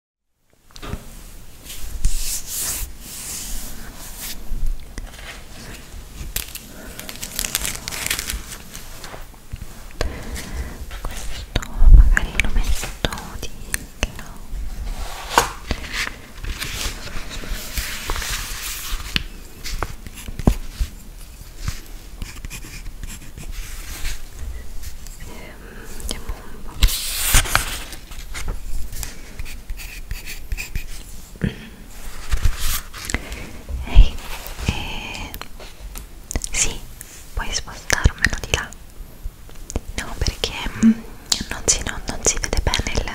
questo magari lo metto di no eh, vediamo un po' ehi eh, sì puoi spostarmelo di là no perché mm, non si, no, non si vede bene il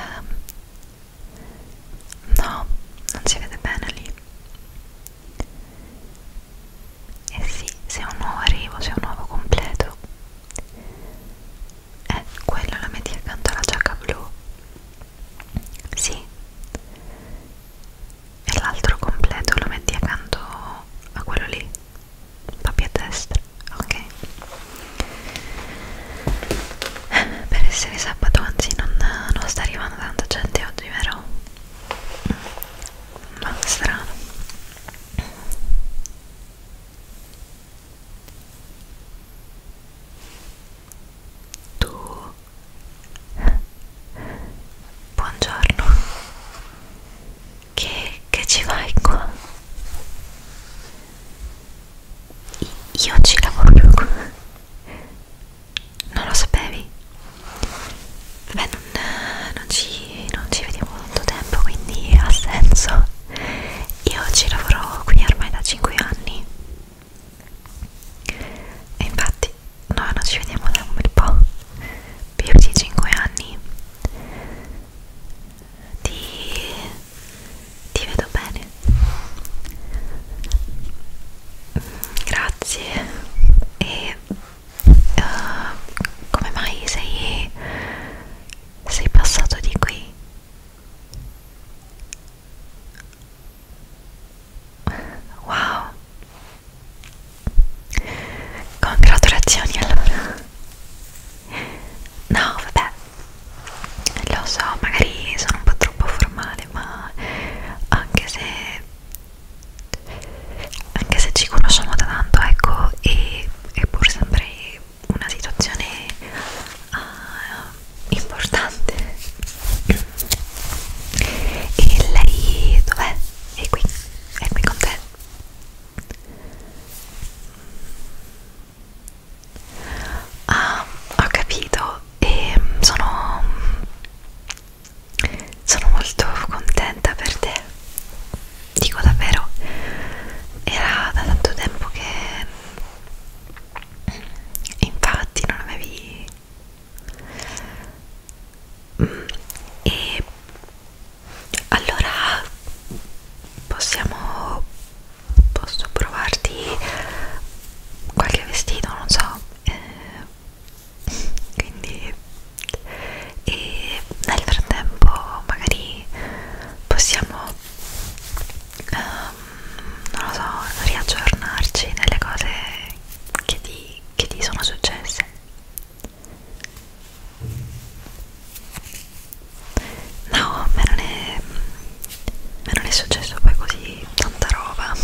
no non si vede bene lì e eh sì, se è un nuovo arrivo, se è un nuovo completo eh, quello la metti accanto alla giacca blu sì e l'altro completo lo metti accanto a quello lì proprio a destra ok eh, per essere sabato anzi non, non sta arrivando tanta gente oggi vero? Mm, ma strano tu Buongiorno Che, che ci vai qua? Io ci lavoro Non lo sapevi? Vabbè, non, non, ci, non ci vediamo tanto tempo, quindi ha senso. Io ci lavoro qui ormai da 5 anni. E infatti, noi non ci vediamo da un bel po', più di 5 anni. Ti, ti vedo bene. Grazie. E uh, come mai sei, sei passato di qui? Wow, congratulazioni allora. No, vabbè, lo so, magari sono un po' troppo formale, ma anche se anche se ci conosciamo da tanto ecco e, e pur sempre una situazione uh, importante e lei dov'è? è qui, è qui con te ah, ho capito e ehm, sono sono molto contenta per te dico davvero era da tanto tempo che infatti non avevi mm, e allora possiamo posso provarti qualche vestito non so eh, quindi e nel frattempo magari possiamo um, non lo so riaggiornarci nelle cose che ti, che ti sono successe no a me non è me non è successo poi così tanta roba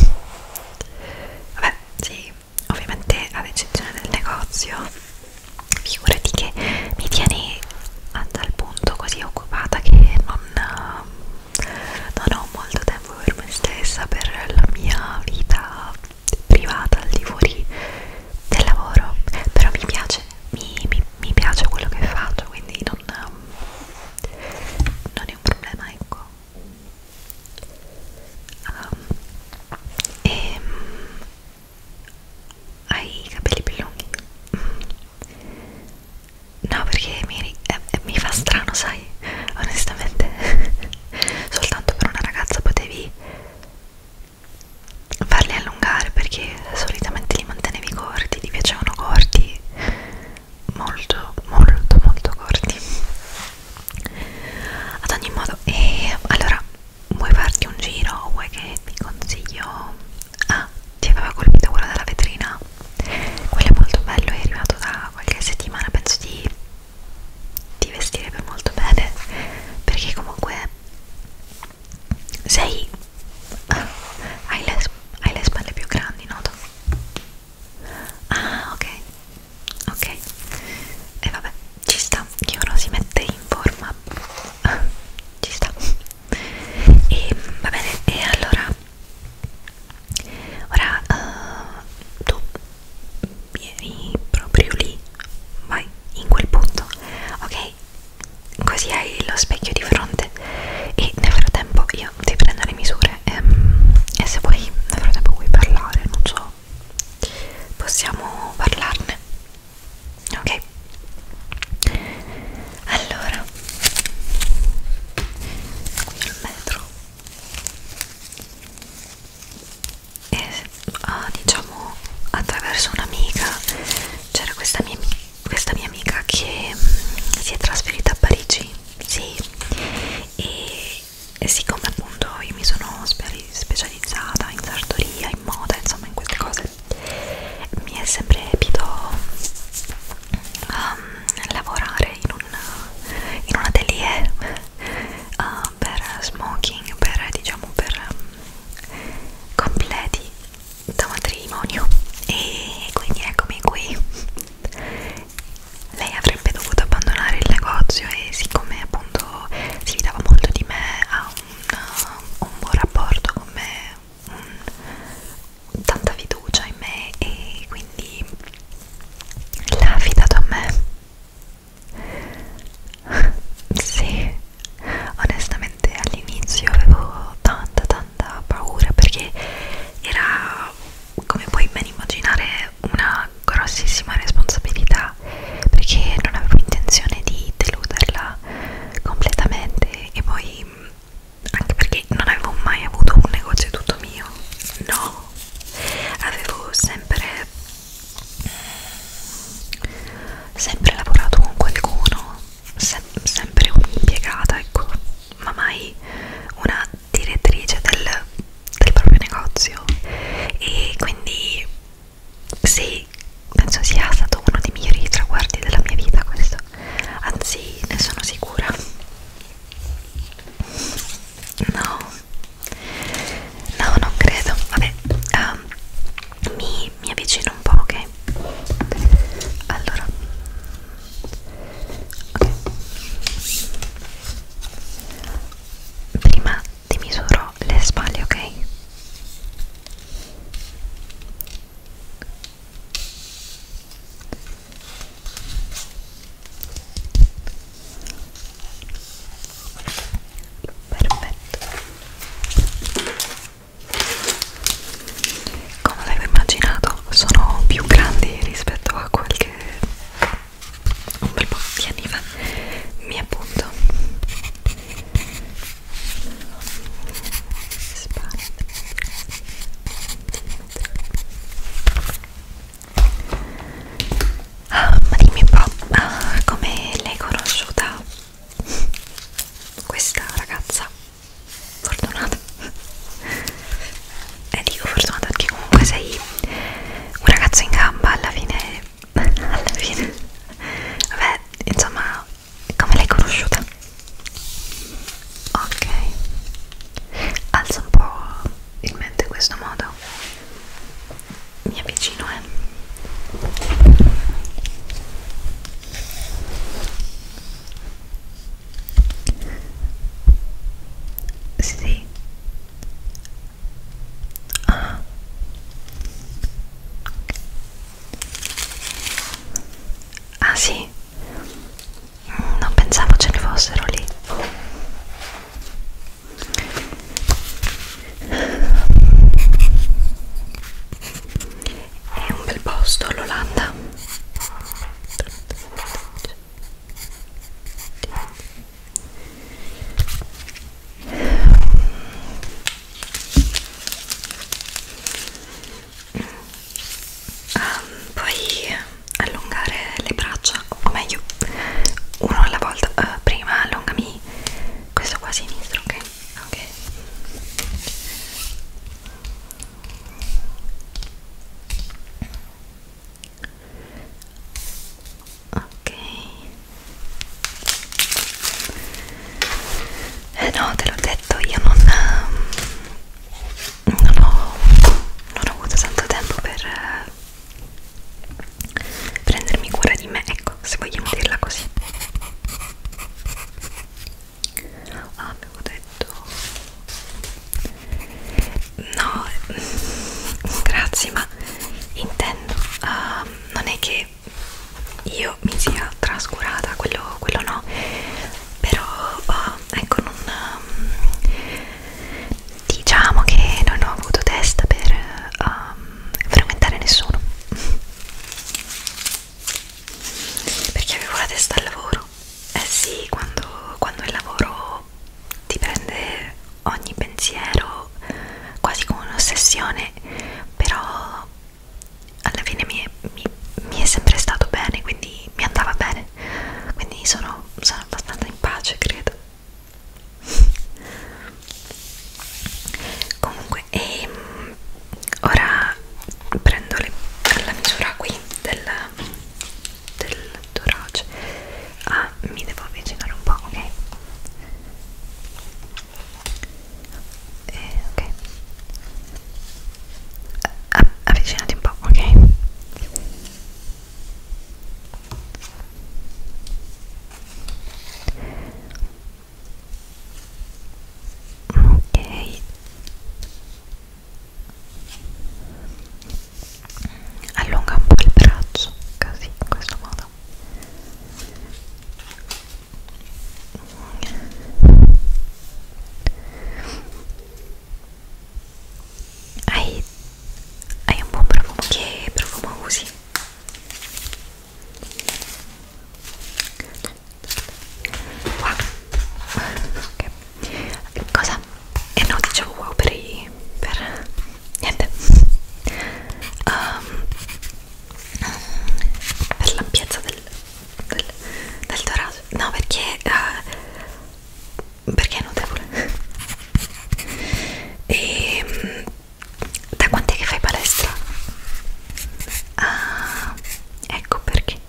vabbè sì ovviamente ad eccezione del negozio figurati che mi tiene al punto così occupata che non, non ho molto tempo per me stessa per la mia vita privata al di fuori del lavoro però mi piace mi, mi, mi piace quello che faccio quindi non, non è un problema ecco um, e um, hai i capelli più lunghi? No, perché mi, eh, eh, mi fa strano, sai, onestamente. Soltanto per una ragazza potevi farli allungare perché solitamente li mantenevi corti, ti piacevano corti molto molto molto corti ad ogni modo e allora vuoi farti un giro o vuoi che ti consiglio ah ti aveva colpito quella della vetrina quello è molto bello è arrivato da qualche settimana penso ti, ti vestirebbe molto bene perché comunque sei ah, hai, le, hai le spalle più grandi noto Ah, ok, ok. E vabbè, ci sta che uno si mette in forma. ci sta. E va bene, e allora ora uh, tu vieni proprio lì, vai in quel punto, ok? Così hai lo specchio di fronte e nel frattempo io ti prendo le misure ehm, e se poi nel frattempo vuoi parlare non so possiamo parlarne ok allora qui al metro e ah, diciamo attraverso un'amica c'era questa mia, questa mia amica che mm, si è trasferita a Parigi sì e, e siccome appunto io mi sono specializzata in sartoria, in moda, insomma in queste cose mi è sempre piaciuto um, lavorare in un, in un atelier uh, per smoking, per diciamo per um, completi da matrimonio e quindi eccomi qui lei avrebbe dovuto abbandonare il negozio e siccome appunto si fidava molto di me ha un, un buon rapporto con me un, tanta fiducia in me e quindi l'ha affidato a me sì onestamente all'inizio avevo tanta tanta paura perché era come puoi ben immaginare una grossissima responsabilità perché non avevo intenzione di deluderla completamente e poi mm, anche perché non avevo mai avuto un negozio tutto mio no avevo sempre mm, sempre lavorato con qualcuno se sempre un'impiegata ecco ma mai una direttrice del, del proprio negozio e quindi sì, penso sia stato uno dei migliori traguardi della mia vita questo, anzi ne sono sicura. No, no, non credo. Vabbè, um, mi, mi avvicino un po', ok? Allora, ok prima ti misuro le spalle ok perfetto come avevo immaginato sono più grandi rispetto a qualche un bel po' di anni fa mi appunto ah, ma dimmi un po' ah, come l'hai conosciuta questa ragazza fortunata e eh, dico fortunata perché comunque sei un ragazzo in gamba alla fine alla fine vabbè insomma come l'hai conosciuta ok alza un po' in mente questo modo mi avvicino eh sì. Ah. ah sì, mm, non pensavo ce ne fossero lì è un bel posto l'Olanda ah, puoi allungare le braccia o meglio uno alla volta uh, prima allungami questo qua a sinistra ok ok ok eh no te l'ho detto io non ehm, non ho, non ho avuto tanto tempo per eh, prendermi cura di me ecco se vogliamo dirla così avevo ah, detto no grazie ma intendo uh, non è che io mi sia trascurata quello, quello no però uh, ecco non um, diciamo che non ho avuto testa per um, frequentare nessuno perché avevo la testa al lavoro eh sì quando, quando il lavoro ti prende ogni pensiero quasi come un'ossessione però alla fine mi, mi, mi è sempre stato bene quindi mi andava bene quindi sono, sono abbastanza in pace credo comunque comunque e mm, ora prendo le, la misura qui del, del torace ah mi devo avvicinare un po' ok eh, ok ah, avvicinati un po' ok ok allunga un po' il braccio così in questo modo hai, hai un buon profumo che profumo usi wow okay. cosa? e eh no dicevo wow per i per niente um, per l'ampiezza del, del, del torace no perché uh, perché è notevole e ehm, da quant'è che fai palestra? Ah, ecco perché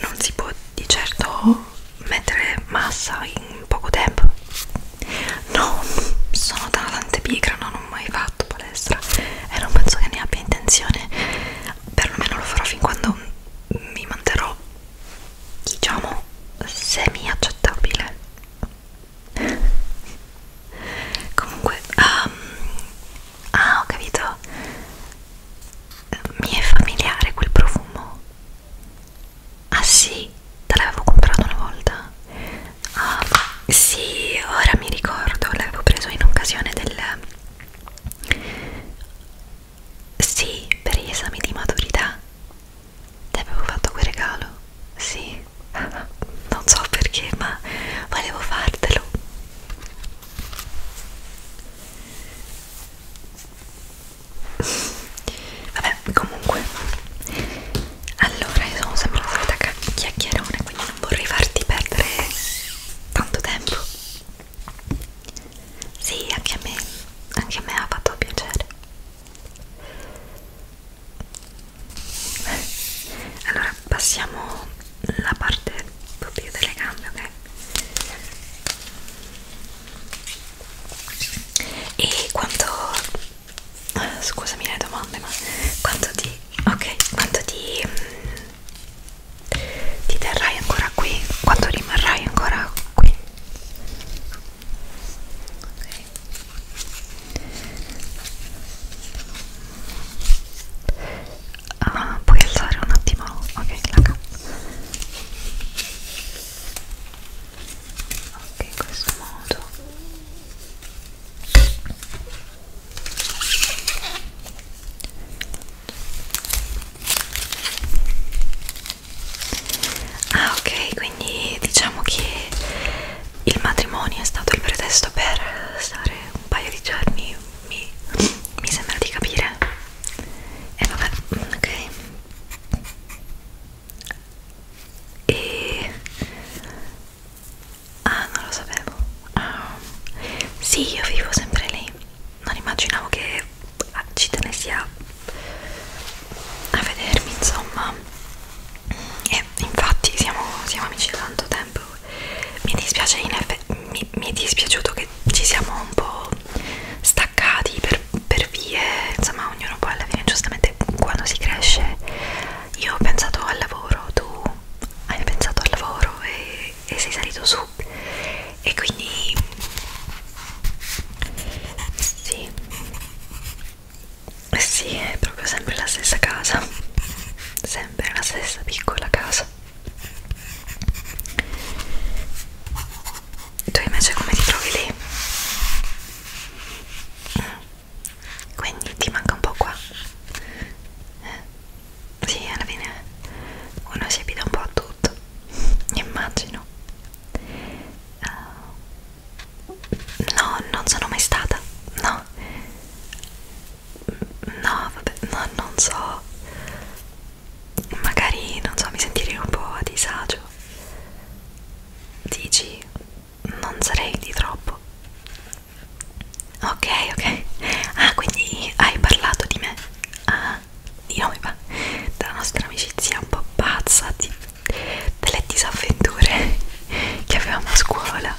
non si può di certo mettere massa in poco tempo. No, sono tante pigra, non ho mai fatto palestra e non penso che ne abbia intenzione. Perlomeno lo farò fin quando mi manterrò, diciamo, semi-accettabile. Comunque, um, Ah, ho capito. Mi è familiare quel profumo. Ah sì, te l'avevo comprato una volta. Ah, sì, ora mi ricordo, l'avevo preso in occasione del... Sì, per gli esami di maturità. Ti avevo fatto quel regalo. Sì oggi non so perché ma volevo fartelo vabbè comunque allora io sono sempre la solita chiacchierone quindi non vorrei farti perdere tanto tempo sì anche a me anche a me ha fatto piacere allora passiamo la parte un po' più delle gambe ok e quanto ah, scusami le domande ma quanto ti ok quanto ti mh, mm, ti terrai ancora qui quanto rimarrai ancora qui ok ah, puoi alzare un attimo ok raga ok in questo modo ah ok quindi diciamo che il matrimonio è stato il pretesto per stare un paio di giorni, mi, mi sembra di capire. E vabbè, ok. E... Ah, non lo sapevo. Um, sì, io vivo sempre lì. Non immaginavo che ci tenessi a, a vedermi, insomma e infatti siamo, siamo amici da tanto tempo mi dispiace in effetti mi, mi è dispiaciuto che ci siamo un po' staccati per, per vie insomma ognuno poi alla fine giustamente quando si cresce io ho pensato al lavoro tu hai pensato al lavoro e, e sei salito su e quindi sì sì, è proprio sempre la stessa casa, sempre la stessa piccola casa. Tu invece come ti trovi lì? Quindi ti manca un po' qua. Eh? Sì, alla fine uno si abita un po' a tutto, immagino. Uh, No, non sono mai stata, no. No, vabbè, no, non so. Magari, non so, mi sentirei un po' a disagio. Dici, non sarei di troppo. Ok, ok. Ah, quindi hai parlato di me. Ah, di noi, va. Della nostra amicizia un po' pazza, di delle disavventure che avevamo a scuola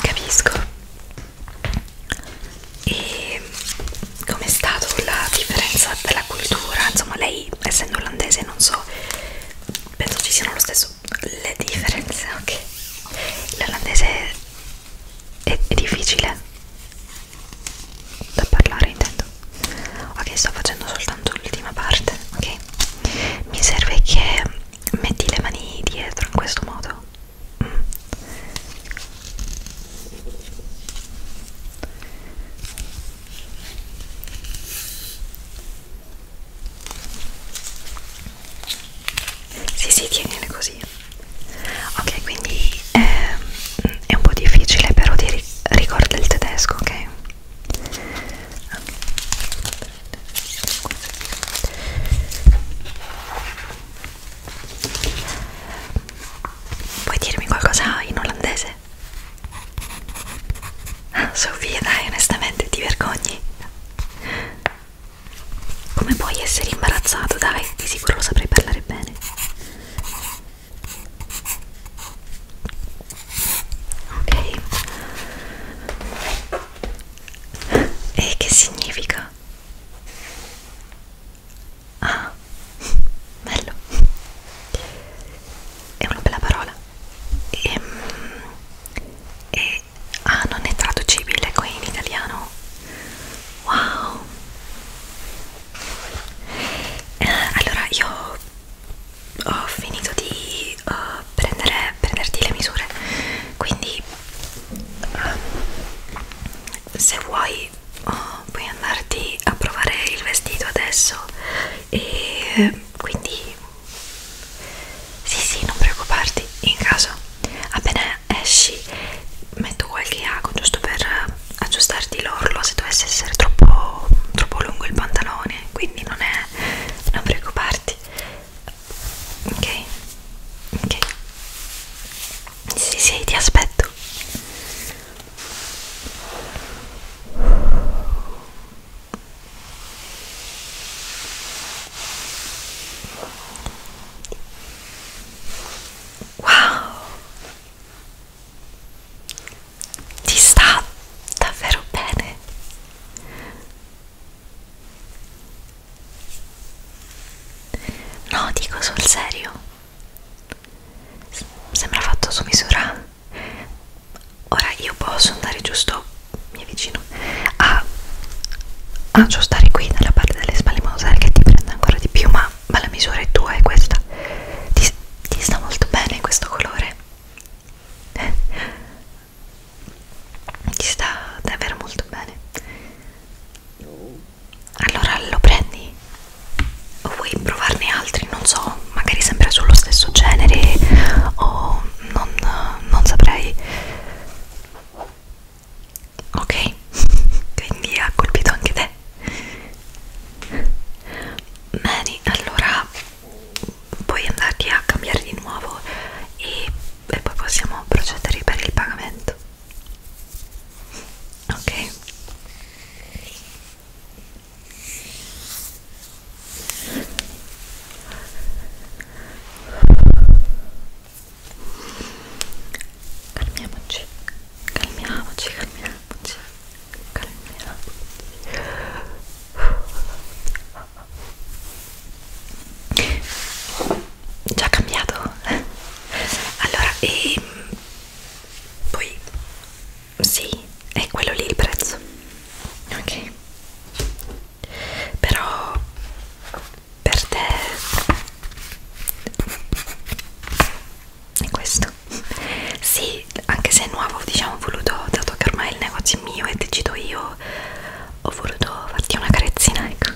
capisco e com'è stato la differenza della cultura insomma lei essendo olandese non so penso ci siano lo stesso le differenze ok l'olandese è, è difficile da parlare intendo ok sto facendo soltanto l'ultima parte ok mi serve che metti le mani dietro in questo modo mm. Sì, sì, tienile così. Ok, quindi è, ehm, è un po' difficile però di ri ricordare il tedesco ok, okay. Puoi dirmi qualcosa in olandese? Ah, Sofia, dai, onestamente ti vergogni. Come puoi essere imbarazzato? Dai, di sicuro lo saprei parlare bene ok e che significa? ah bello è una bella parola e, ehm, e ah non è traducibile qui in italiano wow eh, allora io ho finito di uh, prendere, prenderti le misure quindi uh, se vuoi oh, puoi andarti a provare il vestito adesso e quindi sì sì non preoccuparti in caso appena esci metto qualche ago giusto per aggiustarti l'orlo se dovesse essere troppo, troppo lungo il pantalone quindi non è non preoccuparti ok ok sì sì ti aspetto wow ti sta davvero bene no dico sul serio S sembra fatto su misura ora io posso andare giusto mi avvicino a aggiustare qui nella parte delle spalle in modo tale che ti prenda ancora di più ma ma, ma la misura è tua, è questa. Ti, ti sta molto bene questo colore. Eh? Ti sta davvero molto bene. Allora lo prendi? O vuoi provarne altri? Non so, magari sempre sullo stesso genere o non, non saprei ok quindi ha colpito anche te bene allora puoi andarti a cambiare di nuovo e, e poi possiamo procedere per il pagamento ok calmiamoci calmiamoci calmiamoci calmiamoci già cambiato allora e ehm, poi sì è quello lì il prezzo ok però per te è questo sì anche se è nuovo diciamo ho voluto dato che ormai il negozio è mio e decido io ho voluto farti una carezzina ecco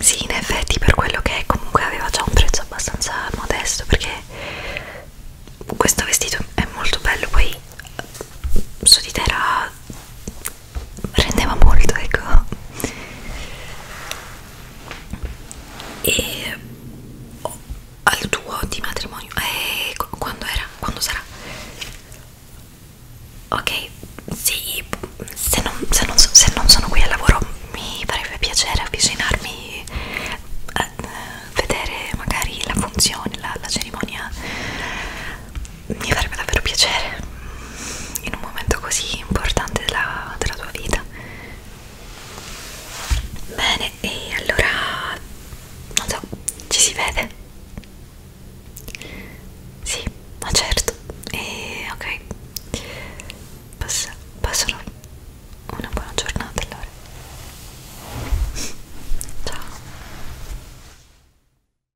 sì in effetti per quello che è, comunque aveva già un prezzo abbastanza modesto perché questo vestito è molto bello poi su di te era rendeva molto ecco e oh, al tuo di matrimonio eh, quando era quando sarà ok sì se non, se, non, se non sono qui al lavoro mi farebbe piacere avvicinarmi a eh, vedere magari la funzione la, la cerimonia mi farebbe davvero piacere in un momento così importante della, della tua vita bene e allora non so ci si vede sì ma ah, certo e ok Passa, passano una buona giornata allora ciao